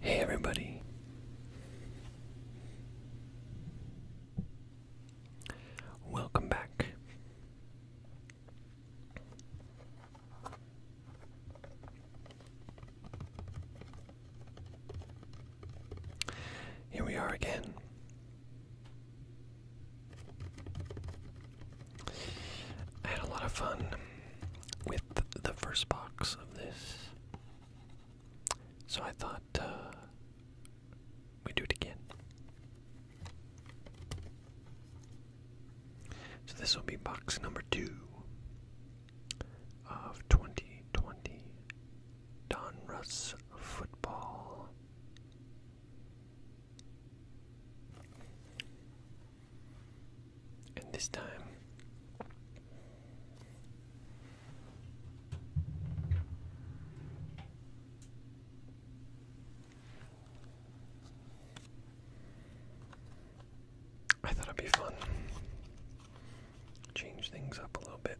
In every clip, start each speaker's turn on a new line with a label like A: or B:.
A: Hey everybody. Welcome back. Here we are again. I had a lot of fun with the first box of this, so I thought uh, we'd do it again. So this will be box number two of 2020 Donruss Football. And this time, I thought it'd be fun. Change things up a little bit.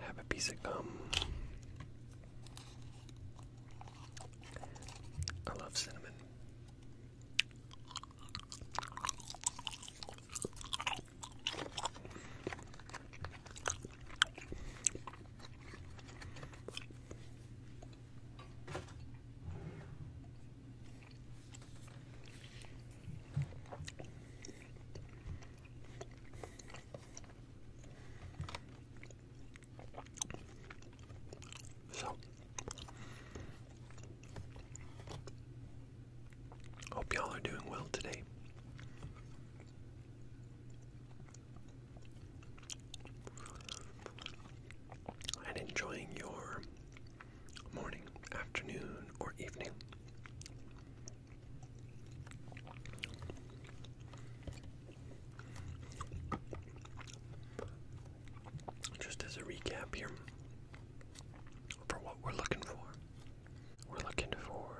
A: Have a piece of gum. I love cinnamon. So, hope y'all are doing well today. And enjoying your morning, afternoon, or evening. Just as a recap here for what we're looking for. We're looking for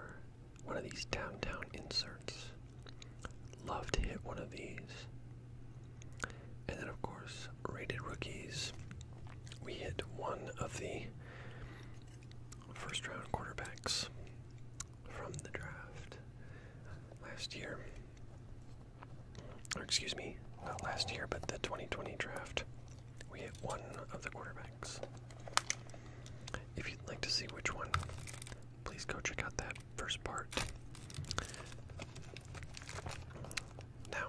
A: one of these downtown inserts. Love to hit one of these. And then, of course, rated rookies. We hit one of the first round quarterbacks from the draft last year. Or excuse me, not last year, but the 2020 draft. We hit one of the quarterbacks. If you'd like to see which one, please go check out that first part. Now,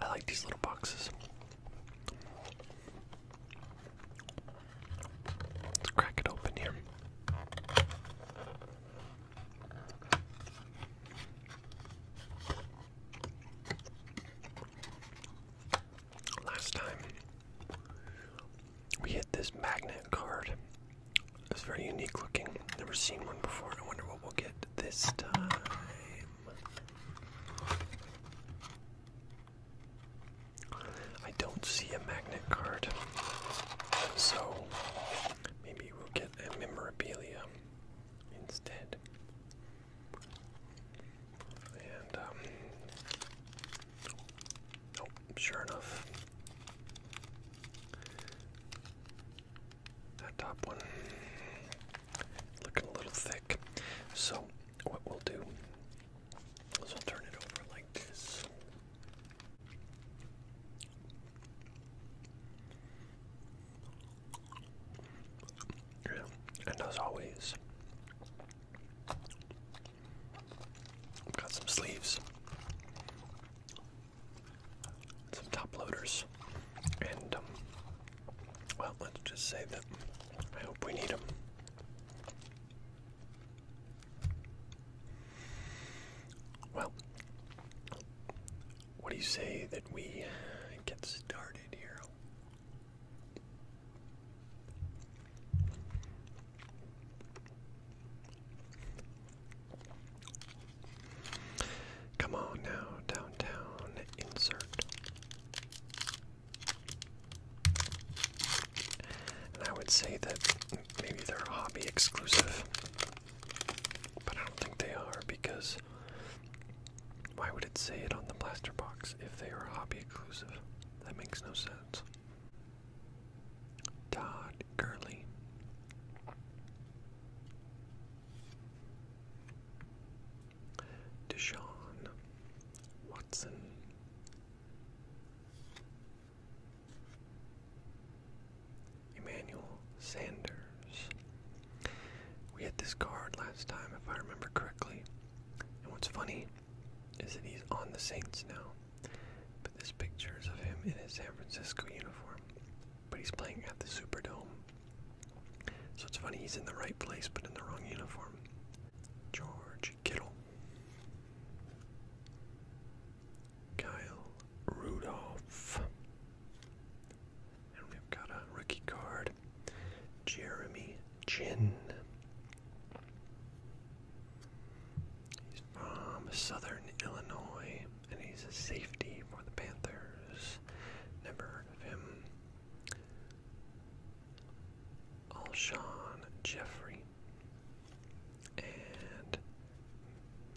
A: I like these little boxes. Let's crack it open here. Last time we hit this magnet card it's very unique looking. Never seen one before. I wonder what we'll get this time. I don't see a magnet card, so maybe we'll get a memorabilia instead. And, um, sure enough, that top one looking a little thick. So what we'll do is we'll turn it over like this. And as always, I've got some sleeves some top loaders, and um, well, let's just say that I hope we need them. Well, what do you say that we get started here? Come on now, downtown, insert. And I would say that maybe they're hobby exclusive, but I don't think they are because why would it say it on the blaster box if they are hobby exclusive? That makes no sense. Todd Gurley. Deshaun Watson. Emmanuel Sanders. We had this card last time, if I remember correctly. And what's funny is that he's on the Saints now. But this picture is of him in his San Francisco uniform but he's playing at the Superdome. So it's funny, he's in the right place but in the wrong uniform. George Kittle. Kyle Rudolph. And we've got a rookie card. Jeremy Chin from Southern Illinois, and he's a safety for the Panthers. Never of him. Alshon Jeffrey and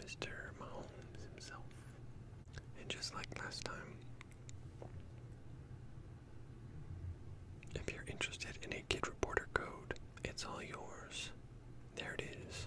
A: Mr. Mahomes himself. And just like last time, if you're interested in a Kid Reporter code, it's all yours. There it is.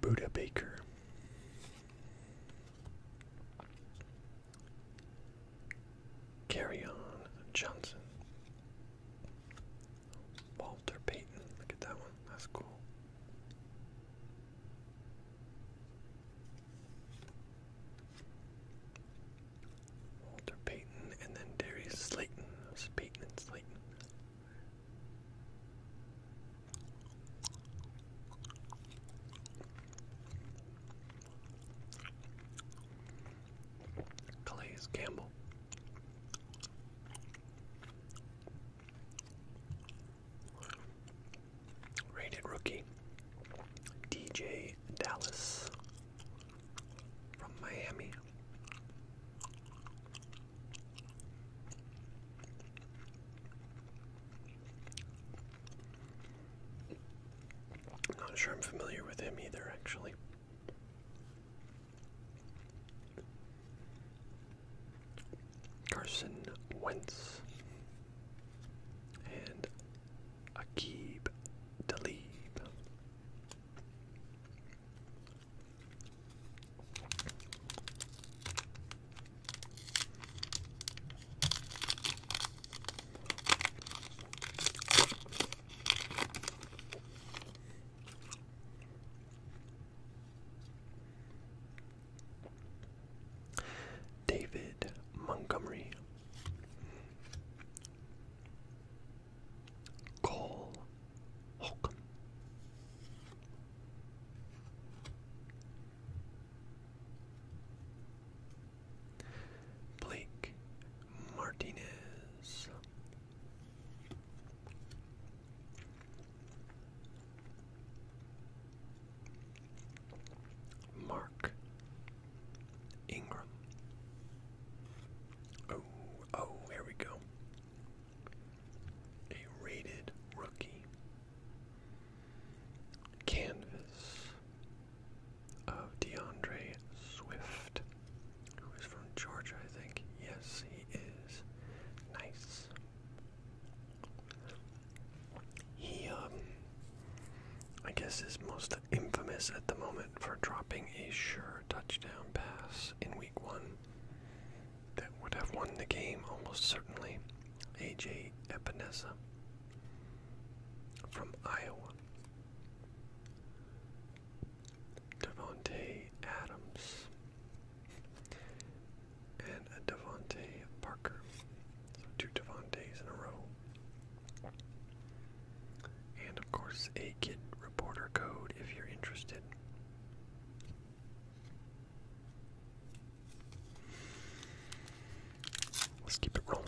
A: Buddha Baker. Carry on Johnson. Walter Payton. Look at that one. That's cool. Walter Payton, and then Darius Slayton. was Payton and Slayton. Calais Campbell. Rated rookie DJ Dallas from Miami. I'm not sure I'm familiar with him either, actually. Carson Wentz and Akib Talib. David Montgomery Cole Holcomb. Blake Martinez. Mark Ingram. Oh, oh, here we go. A rated rookie. Canvas of DeAndre Swift, who is from Georgia, I think. Yes, he is. Nice. He, um, I guess his most infamous at the moment for dropping a sure touchdown pass in week one that would have won the game almost certainly. AJ Epinesa from Iowa. Devontae Adams and a Devontae Parker. So two Devontaes in a row. And of course, a Kid Reporter code if you're interested. Let's keep it rolling.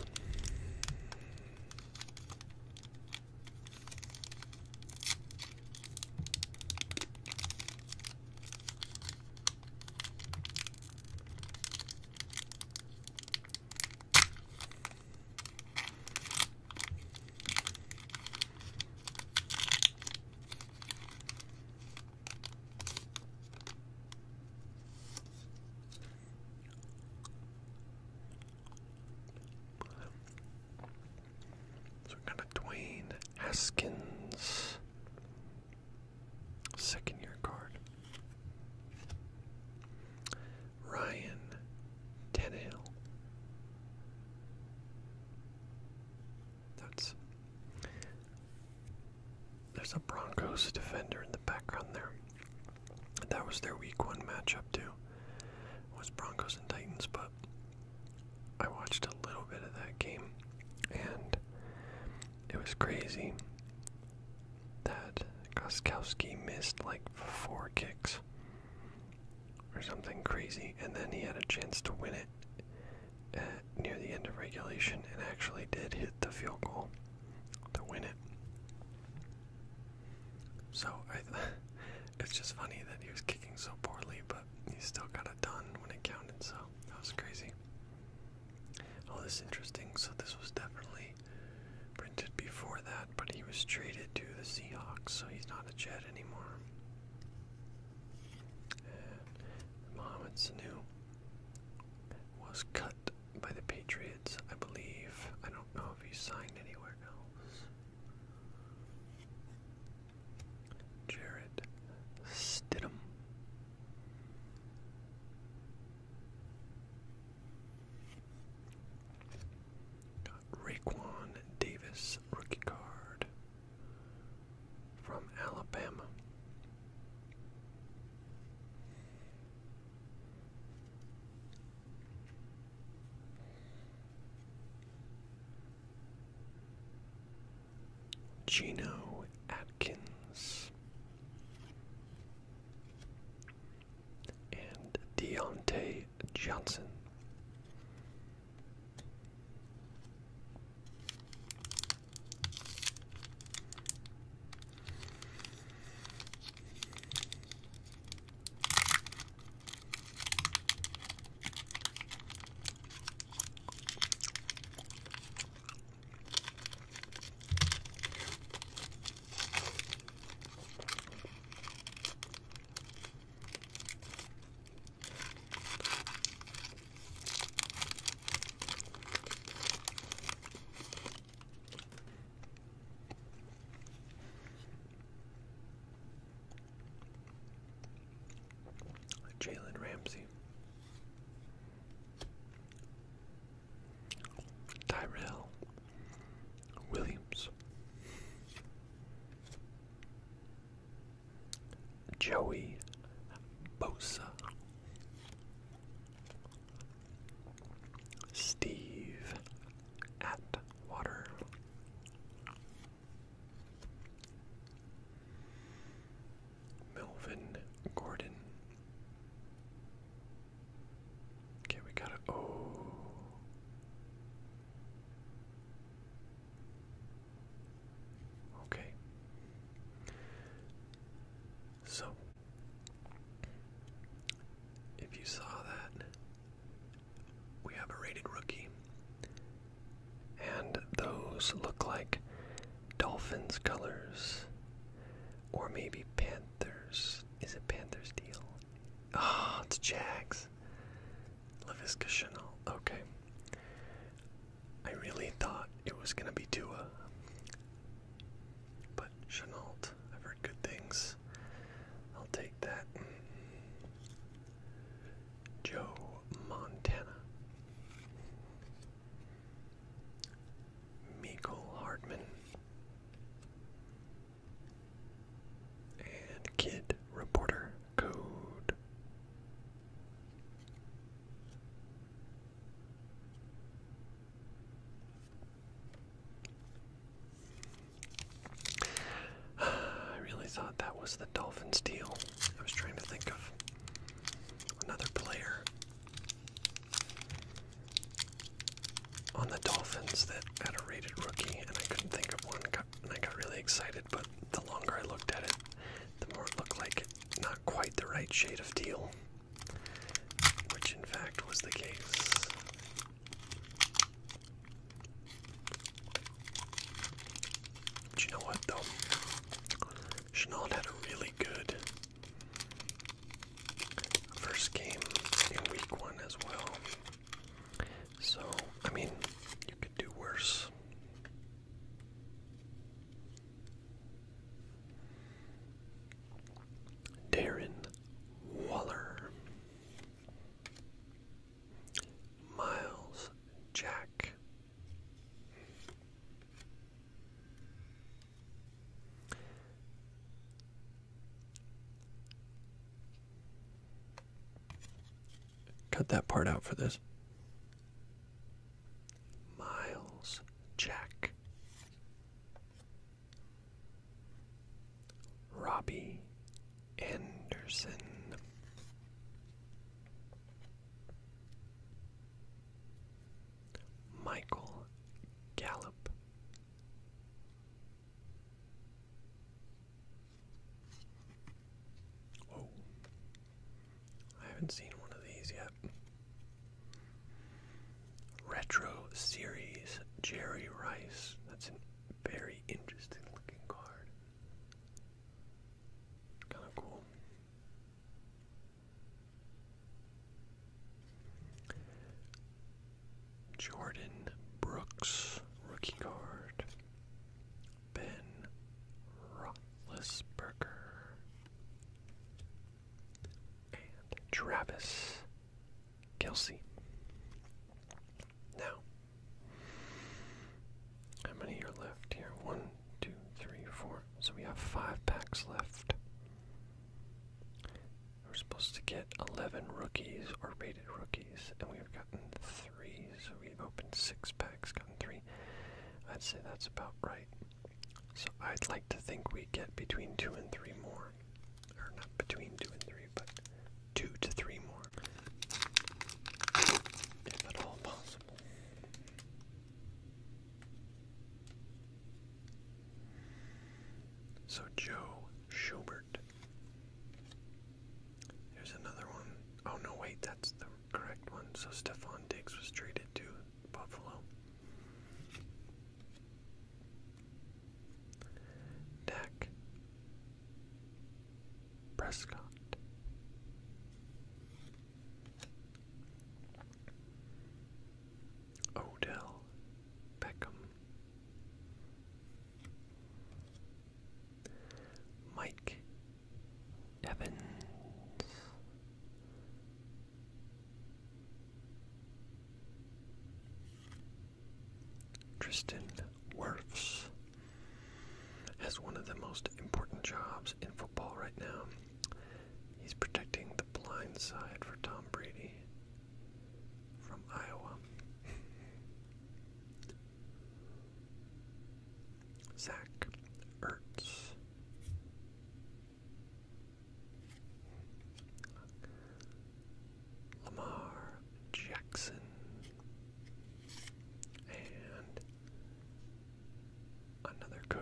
A: So we got a Dwayne Haskins second year card. Ryan Tannehill. That's there's a Broncos defender in the background there. That was their week one matchup too. was Broncos and Titans, but I watched a little bit of that game and it was crazy that Koskowski missed like four kicks or something crazy, and then he had a chance to win it uh, near the end of regulation and actually did hit the field goal to win it. So I, it's just funny that he was kicking so poorly, but he still got it done when it counted. So that was crazy. All oh, this interesting. So this was definitely printed before that, but he was traded to the Seahawks, so he's not a Jet anymore. Mohamed Sanu was cut by the Patriots, I believe. I don't know if he signed anywhere else. Jared Stidham. Got Raquan Davis rookie card from Alabama. Gino Atkins and Deontay Johnson. Jalen Ramsey. Tyrell Williams, Joey Bosa, Steve Atwater. Melvin Gordon, Okay, we got it. Oh. Okay. So, if you saw that, we have a rated rookie. And those look like dolphins colors, or maybe panthers. Is it Panthers deal? Oh, it's Jags. LaVisca Chenault. Okay. I really thought it was going to be Tua. But Chenault, I've heard good things. I'll take that. Mm-hmm. Joe Montana. Michael Hartman. And kid reporter code. I really thought that was the Dolphins deal. I was trying to think of another player on the Dolphins that had a rated rookie, and I couldn't think of one, and I got really excited. But the longer I looked at it, the more it looked like not quite the right shade of teal, which in fact was the case. But you know what, though? Chenault had a really good First game in week one as well. So, I mean, you could do worse. Darren Waller, Miles Jack, Cut that part out for this. Miles Jack. Robbie Anderson. Michael Gallup Oh, I haven't seen one of these yet. Retro Series Jerry Rice. That's a very interesting looking card. Kind of cool. Jordan Brooks, rookie card. Ben Roethlisberger. And Travis Kelsey. Now, how many are left here? One, two, three, four. So we have five packs left. We're supposed to get 11 rookies or rated rookies, and we've gotten three, so we've opened six packs, gotten three. I'd say that's about right. So I'd like to think we get between two and three more. Or not between two and three, but two to three more. If at all possible. So, Joe Schubert. There's another one. Oh, no, wait, that's the correct one. So, Stefan Diggs was traded to Buffalo. Dak Prescott. Odell Beckham, Mike Evans, Tristan Wirfs has one of the most important jobs in football right now. He's protecting the blind side for Tom Brady from Iowa. Zach Ertz. Lamar Jackson and another code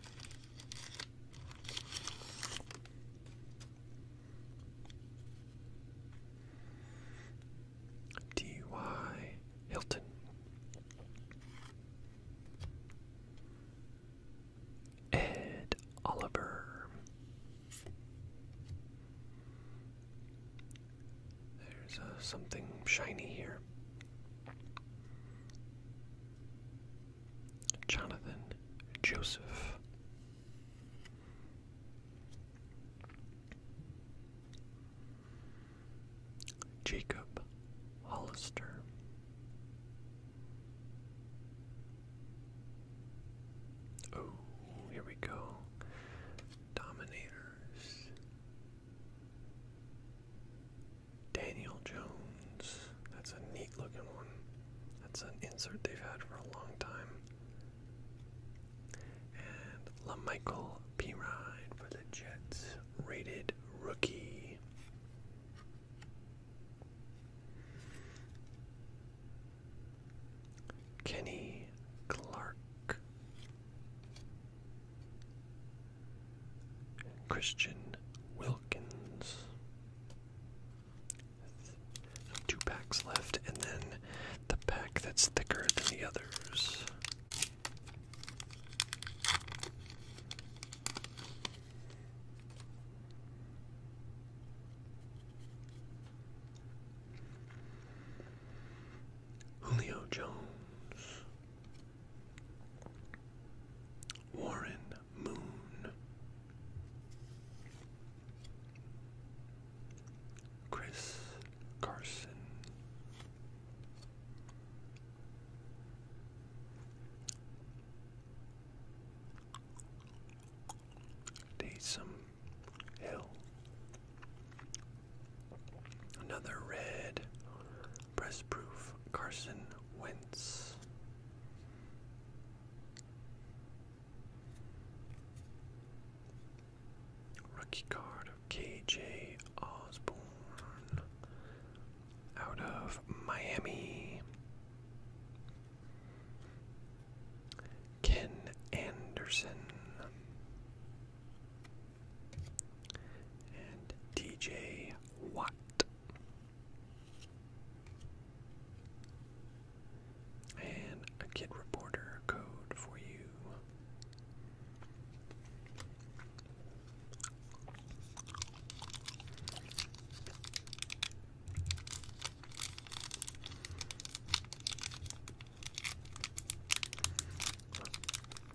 A: D.Y. Hilton. Ed Oliver. There's uh, something shiny here. Jonathan Joseph. Jacob Hollister, oh, here we go, Dominators, Daniel Jones. That's a neat looking one. That's an insert they've had for a long time. And LaMichael P. Ryan for the Jets, rated rookie. Kenny Clark. Christian Wilkins. Two packs left, and then the pack that's thicker than the others. Julio Jones, Warren Moon, Chris Carson, Taysom Hill, another red Press proof Carson Wentz. Rookie card of KJ Osborne out of Miami. Ken Anderson and DJ Watt. And a kid reporter code for you.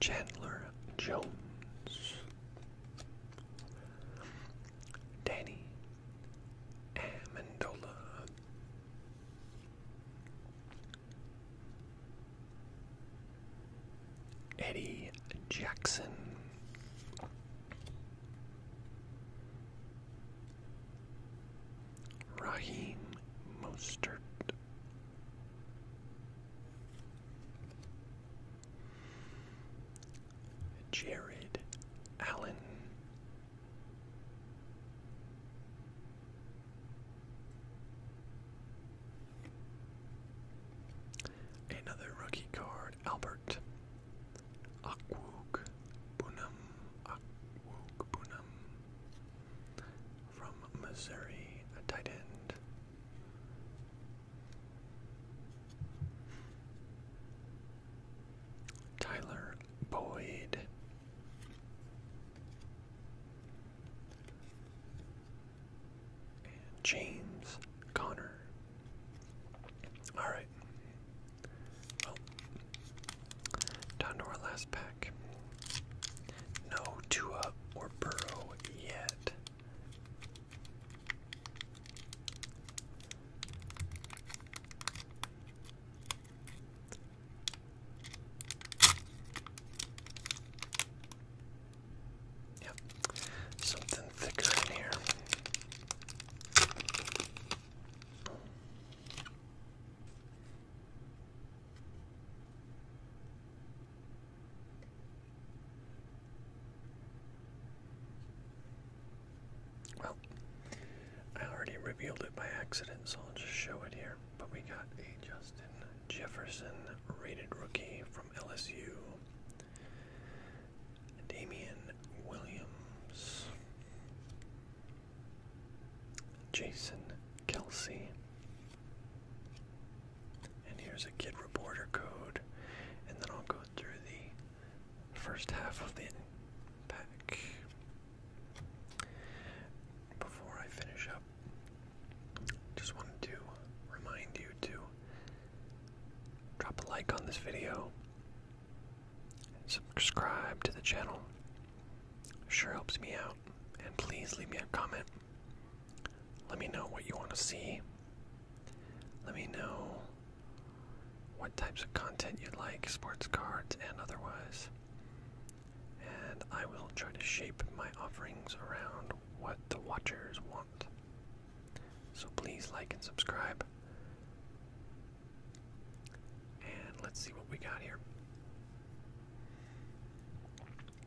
A: Chandler Jones, Danny Amendola, Eddie Jackson. Raheem Mostert. Jared Allen. Another rookie card, Albert Akwuk Bunum. Akwuk Bunum from Missouri, a tight end. Tyler Boyd and James Connor. Alright. down to our last pack. No Tua or Burrow yet. Yep. Something thicker in here. Well, I already revealed it by accident, so I'll just show it here. But we got a Justin Jefferson rated rookie from LSU. Damian Williams, Jason Kelsey, and here's a kid reporter code, and then I'll go through the first half of the pack before I finish up just wanted to remind you to drop a like on this video, subscribe to the channel. Sure helps me out. And please leave me a comment. Let me know what you want to see. Let me know what types of content you'd like, sports cards and otherwise. And I will try to shape my offerings around what the watchers want. So please like and subscribe. And let's see what we got here.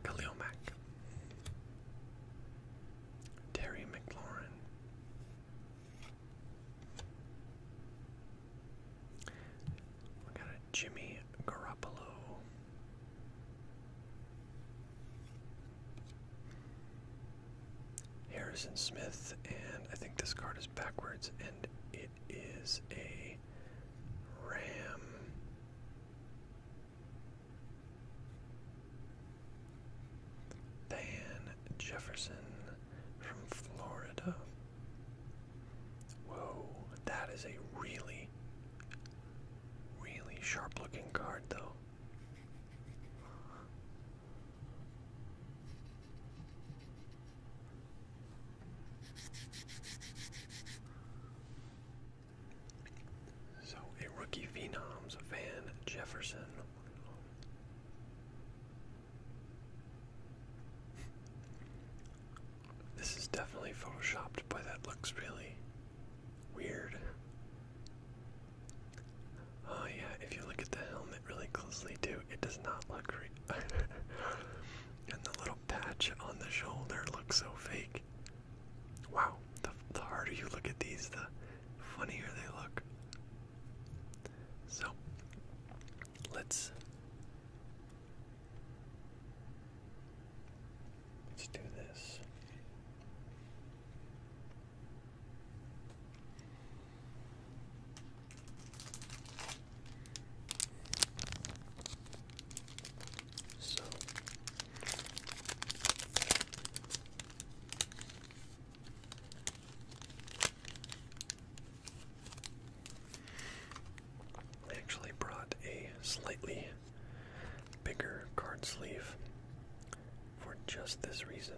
A: Khalil Mack, Terry McLaurin, we got a Jimmy Garoppolo, Harrison Smith, and I think this card is backwards, and it is a Ram. Van Jefferson from Florida. Whoa, that is a really Really sharp looking card, though. So, a rookie phenoms, Van Jefferson. This is definitely photoshopped, but that looks really Weird. Oh yeah, if you look at the helmet really closely too, it does not look real. and the little patch on the shoulder looks so fake. Wow, the, the harder you look at these, the funnier they look. So, let's Let's do this. So I actually brought a slightly bigger card sleeve for just this reason.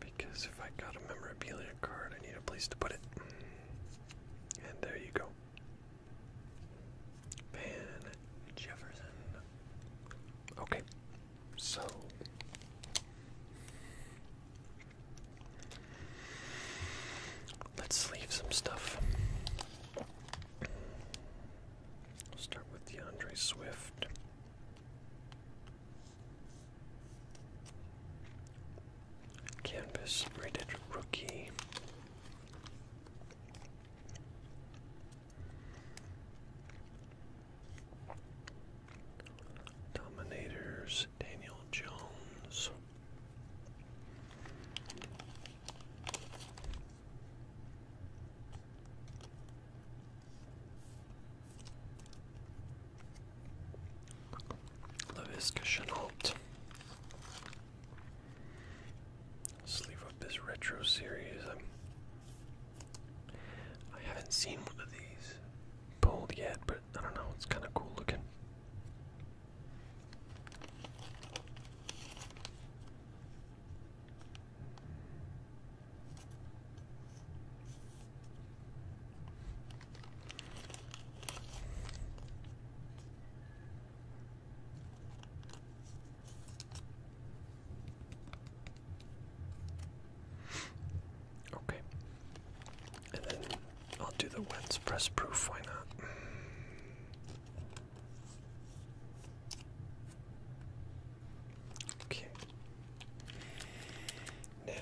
A: Because if I got a memorabilia card, I need a place to put it. And there you go. Van Jefferson. Okay, so. Let's leave some stuff. start with DeAndre Swift. Canvas rated rookie. Dominators, Daniel Jones. Lewis Chenault. Sleeve up this retro series. I'm, i have not seen one of these pulled yet, but I don't know, it's kind of cool looking. Okay. And then I'll do the Wentz press proof, why not? Okay. Now,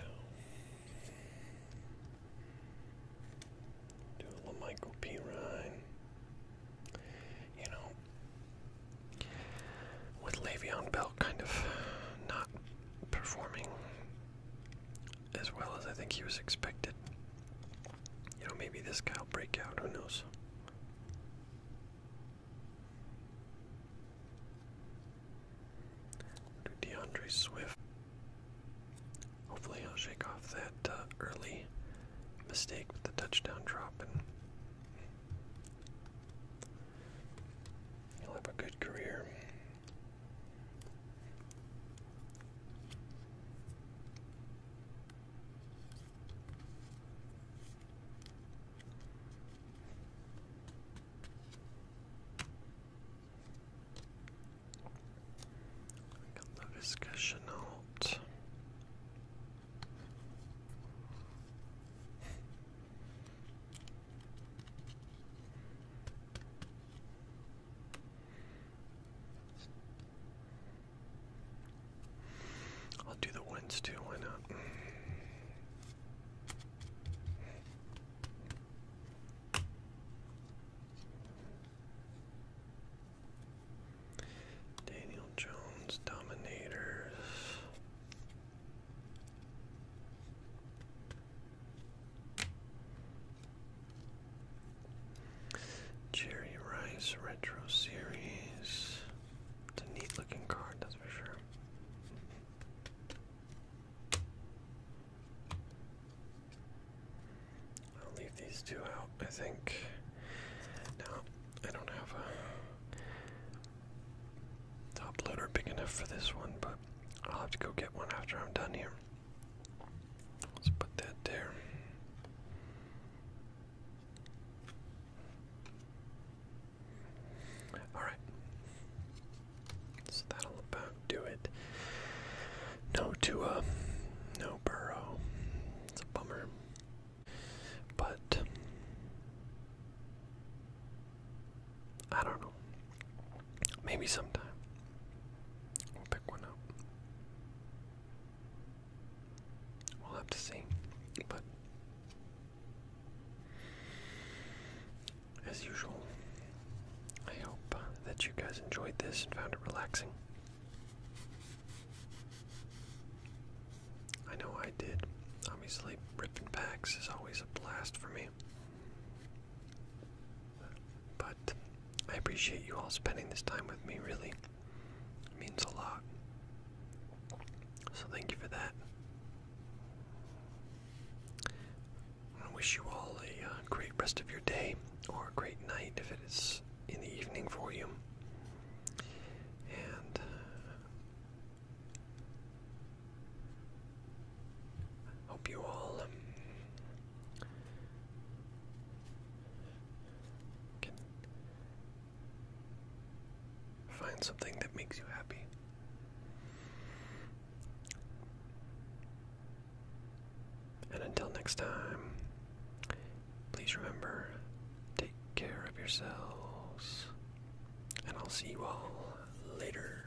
A: do a little Michael P. Ryan. You know, with Le'Veon Bell kind of not performing as well as I think he was expected, you know, maybe this guy will break out, who knows? Do DeAndre Swift. Hopefully, I'll shake off that uh, early mistake with the touchdown drop, and will have a good career. Get the discussion out. I'll do the wins too, why not? Daniel Jones, Dominators. Cherry Rice Retro Series. It's a neat looking card, that's for sure. I'll leave these two out, I think. No, I don't have a top loader big enough for this one, but I'll have to go get one after I'm done here. Let's put that there. Alright. So that'll about do it. No Tua, no Burrow. It's a bummer. But I don't know. Maybe sometime we'll pick one up. We'll have to see. But as usual, I hope uh, that you guys enjoyed this and found it relaxing. I know I did. Obviously, ripping packs is always a blast for me. But I appreciate you all spending this time with me, really. It means a lot. So thank you for that. I wish you all a uh, great rest of your day or a great night if it is in the evening for you. And uh, hope you all um, find something that makes you happy. And until next time, please remember take care of yourselves, and I'll see you all later.